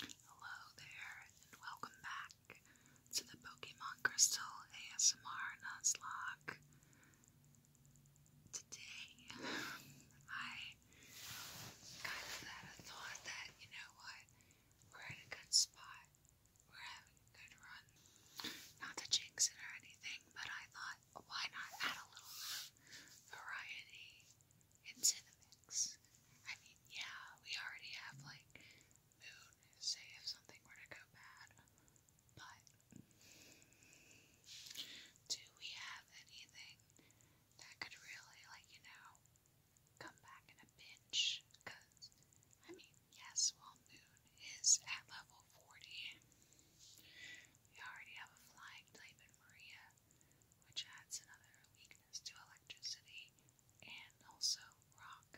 Hello there, and welcome back to the Pokemon Crystal ASMR Nuzlocke. Today, I kind of had a thought that, you know what, we're in a good spot, we're having a good run. Not to jinx it or anything, but I thought, why not add a little variety into the I mean, yeah, we already have like moon, say if something were to go bad, but do we have anything that could really, like, you know, come back in a pinch? Because, I mean, yes, while moon is at level 40, we already have a flying type in Maria, which adds another weak to electricity and also rock.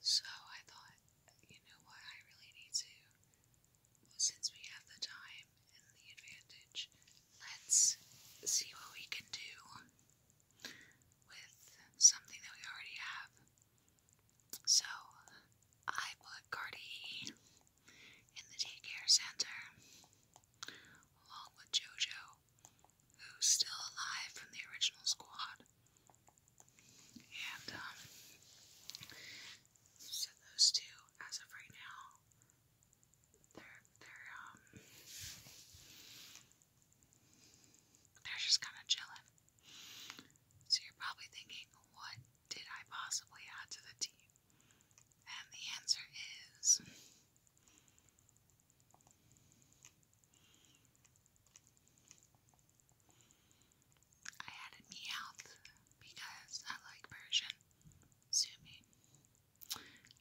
So I thought, you know what, I really need to, well, since we have the time and the advantage, let's see what we can do with something that we already have. So I put Cardi in the daycare center, along with Jojo, who's still alive from the original squad. And, um, so those two, as of right now, they're, they're, um, they're just kind of chilling. So you're probably thinking, what did I possibly add to the team? And the answer is I added Meowth because I like Persian. Sumi.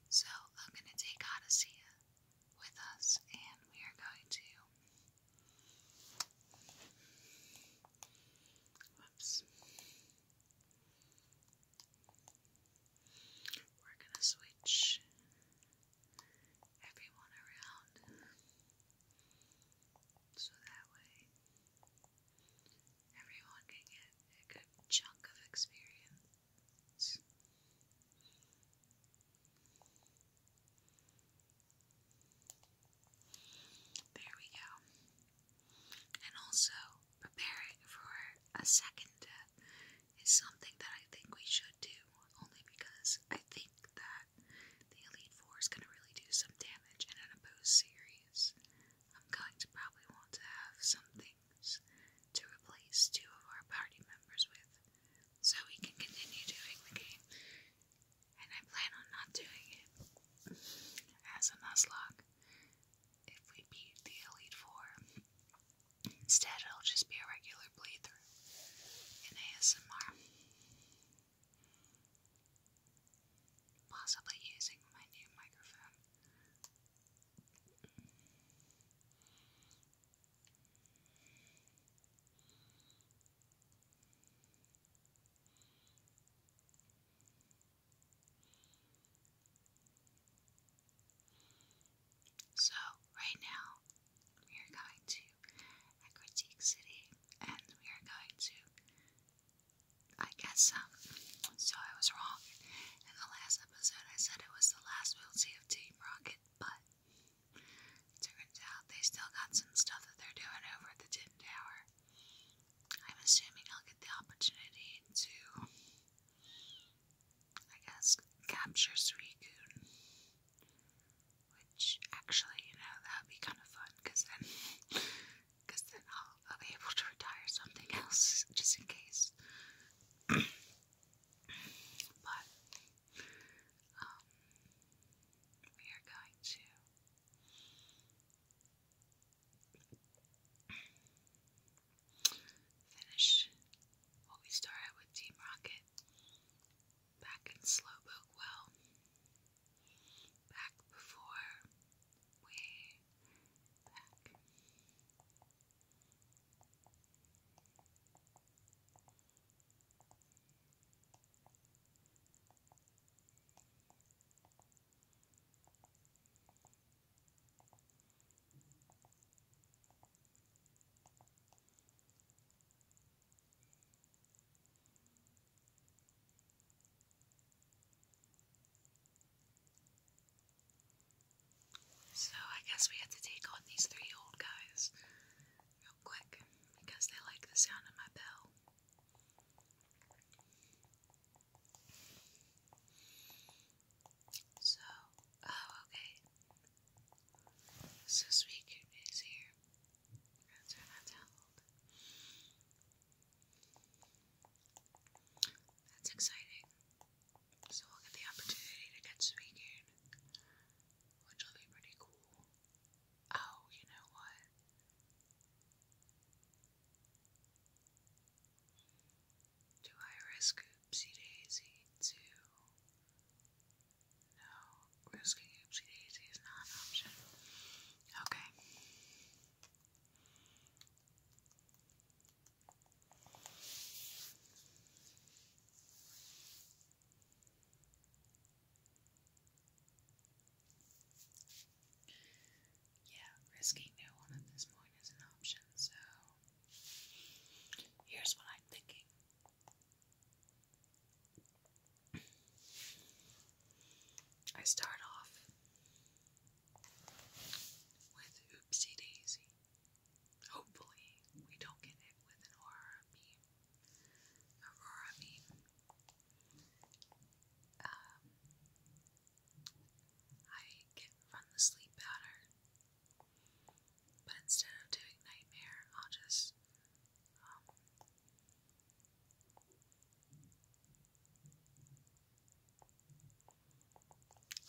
So I'm going to take Odyssea with us and we are going to. Whoops. We're going to switch everyone around so that way everyone can get a good chunk of experience. There we go. And also, preparing for a second death is something that I think we should do, only because I think that the Elite Four is going to really do some damage in an opposed series. I'm going to probably want to have some things to replace two of our party members with, so we can continue doing the game and I plan on not doing it. As a Nuzlocke, if we beat the Elite Four, instead it'll just be a regular playthrough in ASMR. Possibly using my new microphone. So, right now, we are going to Critique City and we are going to, I guess, um, so I was wrong. In the last episode, I said it was the last we'll of Team Rocket, but turns out they still got some stuff that they're doing over at the Tin Tower. I'm assuming I'll get the opportunity to, I guess, capture Suicune. Which actually, you know, that would be kind of fun because then, cause then I'll, I'll be able to retire something else just in case. but, um, we are going to Finish what we started with Team Rocket. Back in Slowpoke Well. Back before we so I guess we have to take on these three old guys real quick because they like the sound of my bell. So, oh, okay. So sweet is here. That's exciting. So we'll get the opportunity to get Suicune, which will be pretty cool. Oh, you know what? Do I risk Oopsie Daisy too? No, risking Oopsie Daisy is not an option. Okay yeah, risking no one at this point is an option, so here's what I'm thinking. I start off with Oopsie Daisy. Hopefully, we don't get hit with an Aurora beam. Aurora beam. Um, I get run the sleep pattern, but instead of doing nightmare, I'll just um,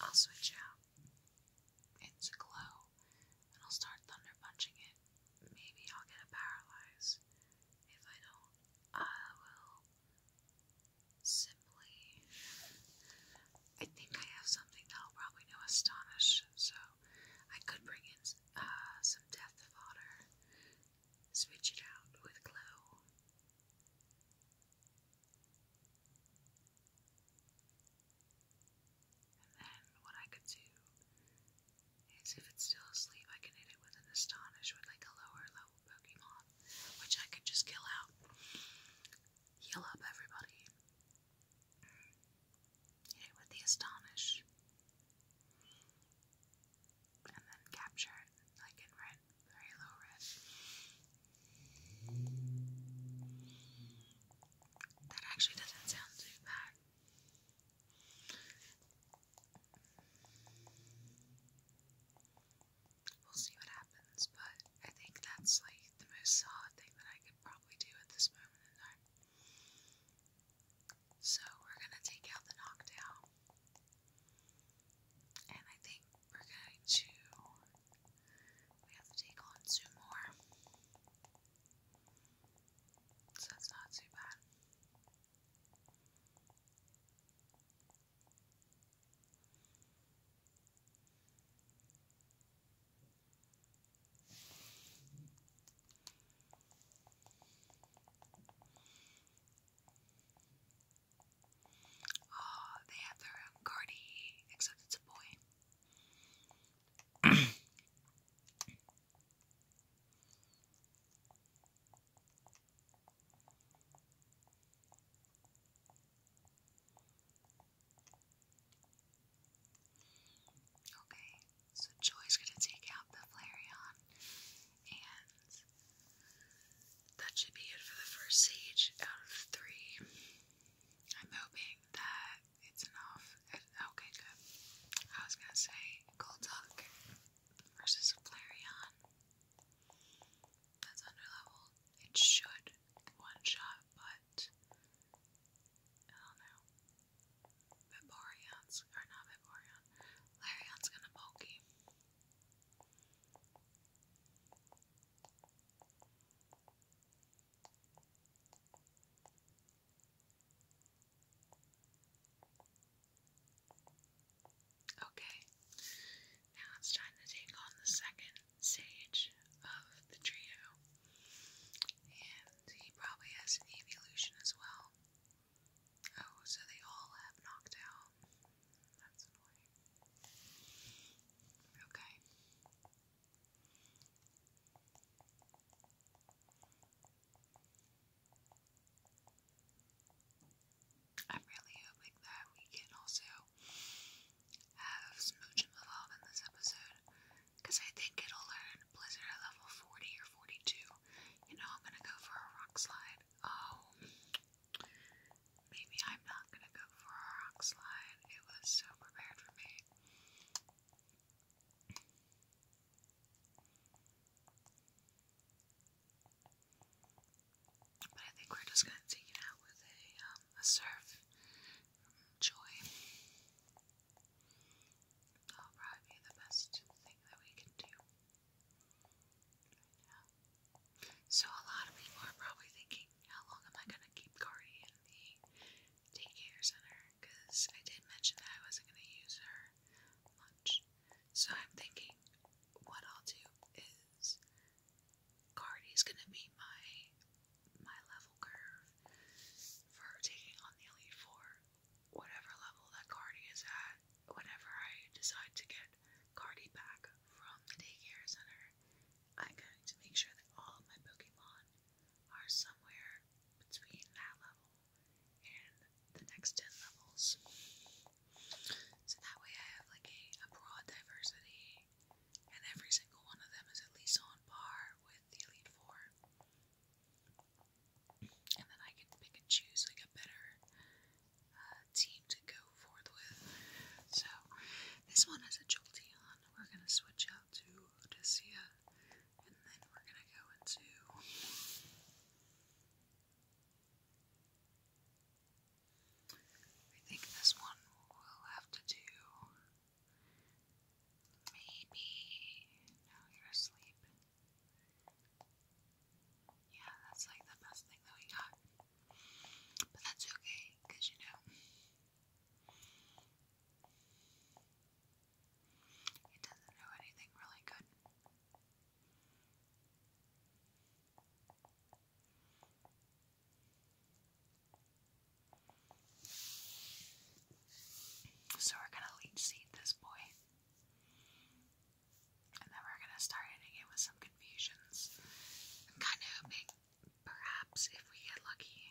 I'll switch out into glow, and I'll start thunder punching it. Maybe I'll get a if I don't. I will simply. I think I have something that'll probably know Astonish, so I could bring in uh, some Death of Fodder, switch it out with Glow. And then what I could do is if it's still asleep, I can hit it with an astonish with like a lower level Pokemon, which I could just kill out. Heal up everybody. Hit it with the astonish. And then capture it, like in red, very low red. That actually doesn't sound too bad. We'll see what happens, but I think that's like the most solid thing that I could probably do at this moment in time. So we're gonna take out the knockdown. And I think we're going to we have to take on two more. So that's not too bad. Oh, they have their own Cardi, except it's a boy. Okay, so Joy's gonna take out the Flareon, and that should be it for the first siege out of three. I'm hoping that it's enough. Okay, good. I was gonna say, cold talk versus a Flareon that's underleveled. It should one shot, but I don't know. Vaporeon's, or not Vaporeon, Flareon's gonna pokey. Okay, now it's time to take on the second stage of the trio. And he probably has an evolution as well. Oh, so they all have knocked out. That's annoying. Okay. I'm really hoping that we can also have Smooch and Move in this episode because I think it'll learn Blizzard at level 40 or 42. You know, I'm gonna go for a rock slide. Oh, maybe I'm not gonna go for a rock slide. It was so prepared for me. But I think we're just going to take it out with a, um, a surf Joy. That'll probably be the best thing that we can do So a lot of people are probably thinking, how long am I going to keep Cardi in the daycare center? Because I did mention that I wasn't going to use her much. So I'm thinking what I'll do is Cardi's gonna be my my level curve for taking on the Elite Four. Whatever level that Cardi is at, whenever I decide to get Cardi back from the daycare center, I'm going to make sure that all of my Pokemon are somewhere between that level and the next 10 levels. So that way I have like a, broad diversity, and every single one of them is at least on par with the Elite Four. And then I can pick and choose like a better uh, team to go forth with. So this one has a Jolteon. We're gonna switch out to Odysseia, and then we're gonna go into I think this one will have to do. Maybe. No, you're asleep. Yeah, that's like the best thing that we got. But that's okay, because you know, it doesn't know anything really good. So we're gonna leech seed this boy. And then we're gonna start hitting it with some confusions. kind of hoping perhaps if we get lucky,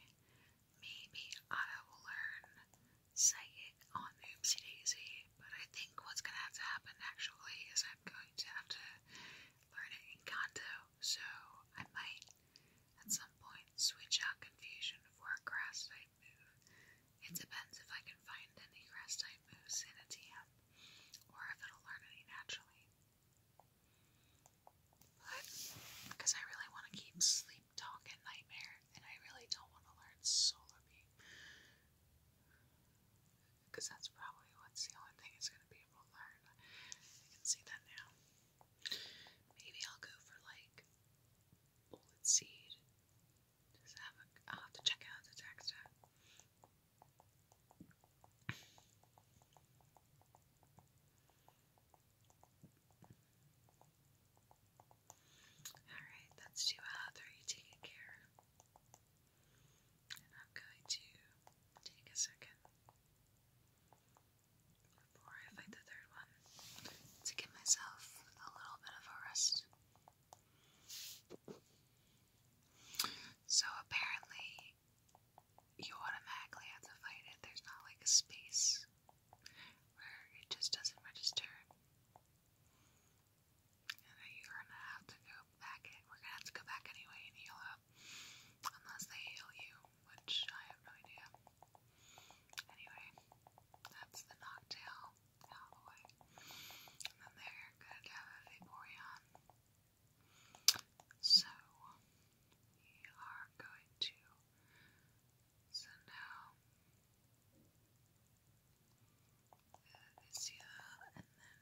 maybe I will learn say it on Oopsie Daisy, but I think what's gonna have to happen actually is I'm going to have to learn it in Kanto, so I might at some point switch out Confusion for a grass type move. It depends if I can find any grass type moves in a TM or if it'll learn any naturally. But because I really want to keep sleep talk and nightmare, and I really don't want to learn solar beam. Because that's probably what's the only thing it's going to be able to learn. I can see that now. Maybe I'll go for like bullet seed. Just have a. I'll have to check out the text Alright, that's too hot. Are you taking care? And I'm going to take a second before I fight the third one to give myself a little bit of a rest. So apparently, you automatically have to fight it. There's not like a space where it just doesn't register. And you're gonna have to go back We're gonna have to go back anyway and heal up. Unless they heal you, which I have no idea. Anyway, that's the Noctail And then they're gonna have a Vaporeon. So, we are going to so now uh, and then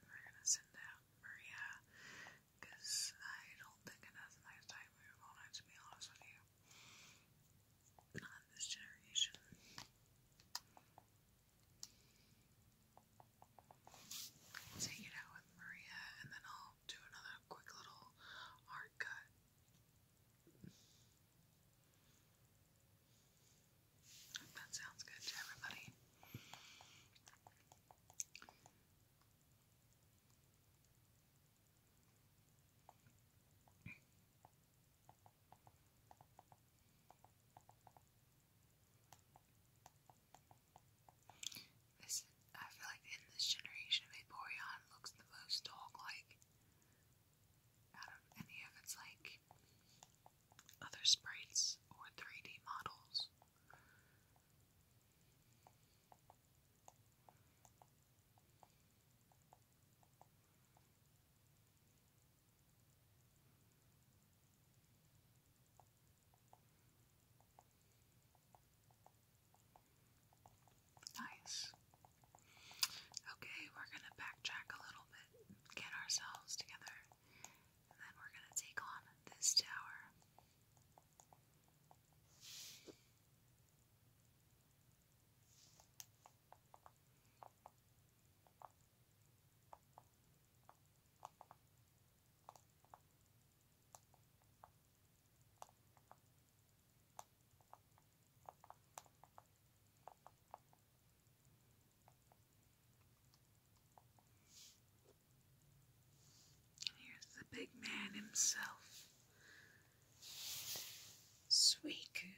we're gonna send out Maria because I don't think enough nice time move on to be honest with you. Not this generation. take it out with Maria and then I'll do another quick little hard cut if that sounds good to everybody. This, I feel like in this generation of Vaporeon looks the most dog-like out of any of its like other sprites or 3D models. Nice. Okay, we're gonna backtrack a little bit, get ourselves together, and then we're gonna take on this tower here's the big man himself, Suicune.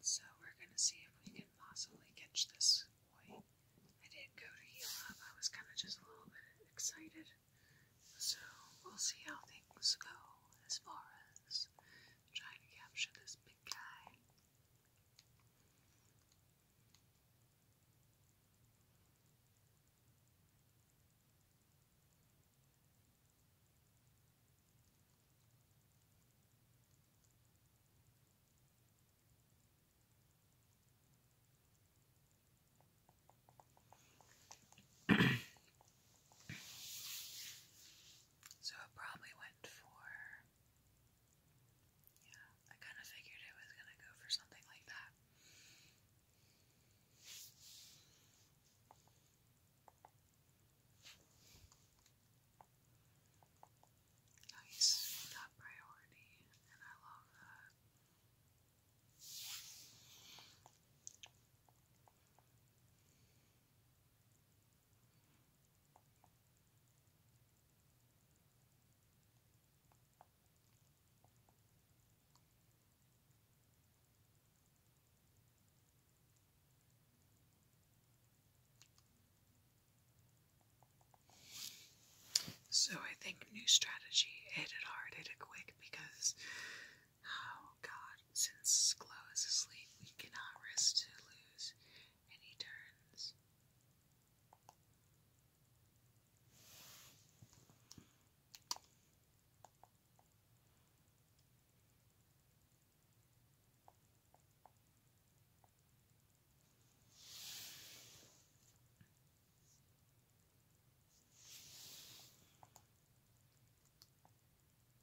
So we're going to see if we can possibly catch this boy. I didn't go to heal up, I was kind of just a little bit excited. So we'll see how things go as far as trying to capture this big guy. So it probably went for. Yeah, I kind of figured it was gonna go for something like that. Nice, top priority, and I love that. So I think new strategy, it had hard, it a quick because Oh God, since Glow is asleep, we cannot risk to lose any turns.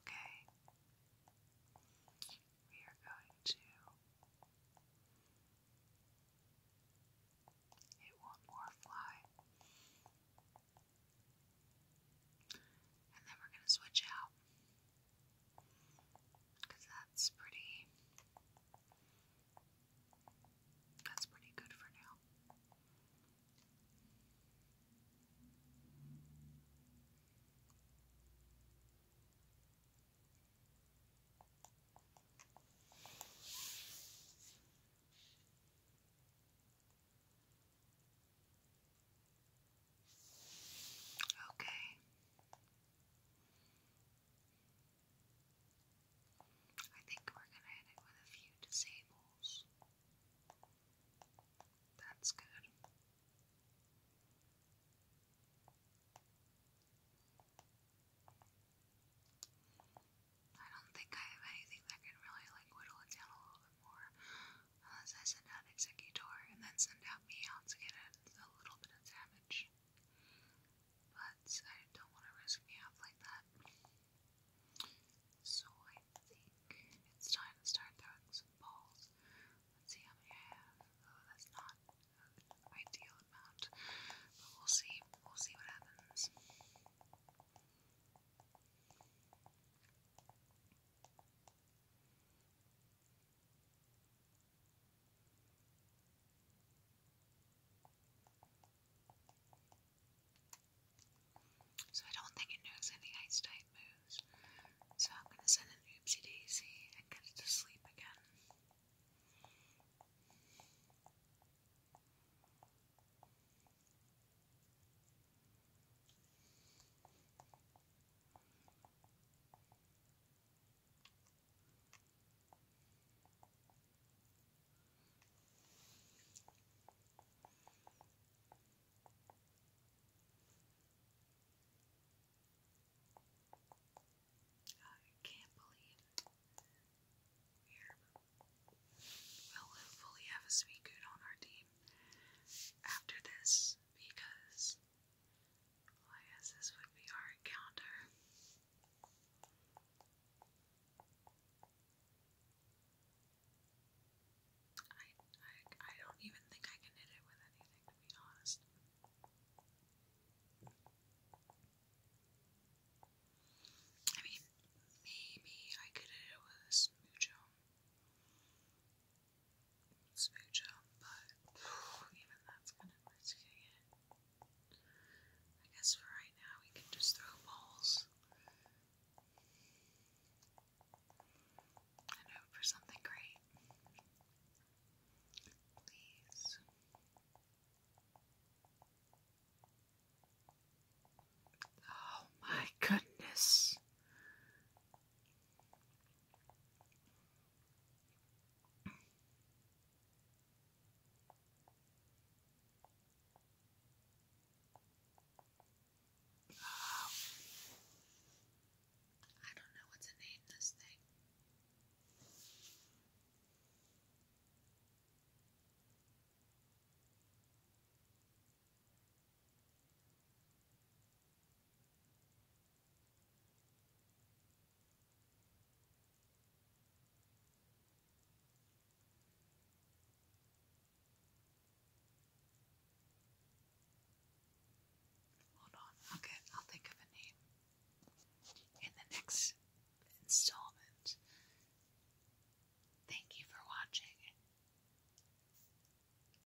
Okay, we are going to. Hit one more fly. And then we're going to switch out. Because that's pretty. That's pretty good for now. Okay. I think we're going to hit it with a few disables. That's good. I don't think I have anything that can really like whittle it down a little bit more unless uh, I send out Executor and then send out Meow to get a little bit of damage. But I don't want to risk Meow like that. So I think it's time to start throwing some balls. Let's see how many I have. Oh, that's not an ideal amount. But we'll see. We'll see what happens. So I don't think it knows any ice type moves. So I'm gonna send an oopsie daisy and get it to sleep again. I can't believe we will hopefully have a Suicune on our team after this because I guess this would be our encounter. I, I, don't even think I can hit it with anything, to be honest. I mean, maybe I could hit it with a smoocho smoocher, but even that's kind of risking it. I guess for right now we can just throw balls and hope for something great. Please. Oh my goodness. Oh. I don't know what to name this thing. Hold on, okay, I'll think of a name. In the next installment. Thank you for watching.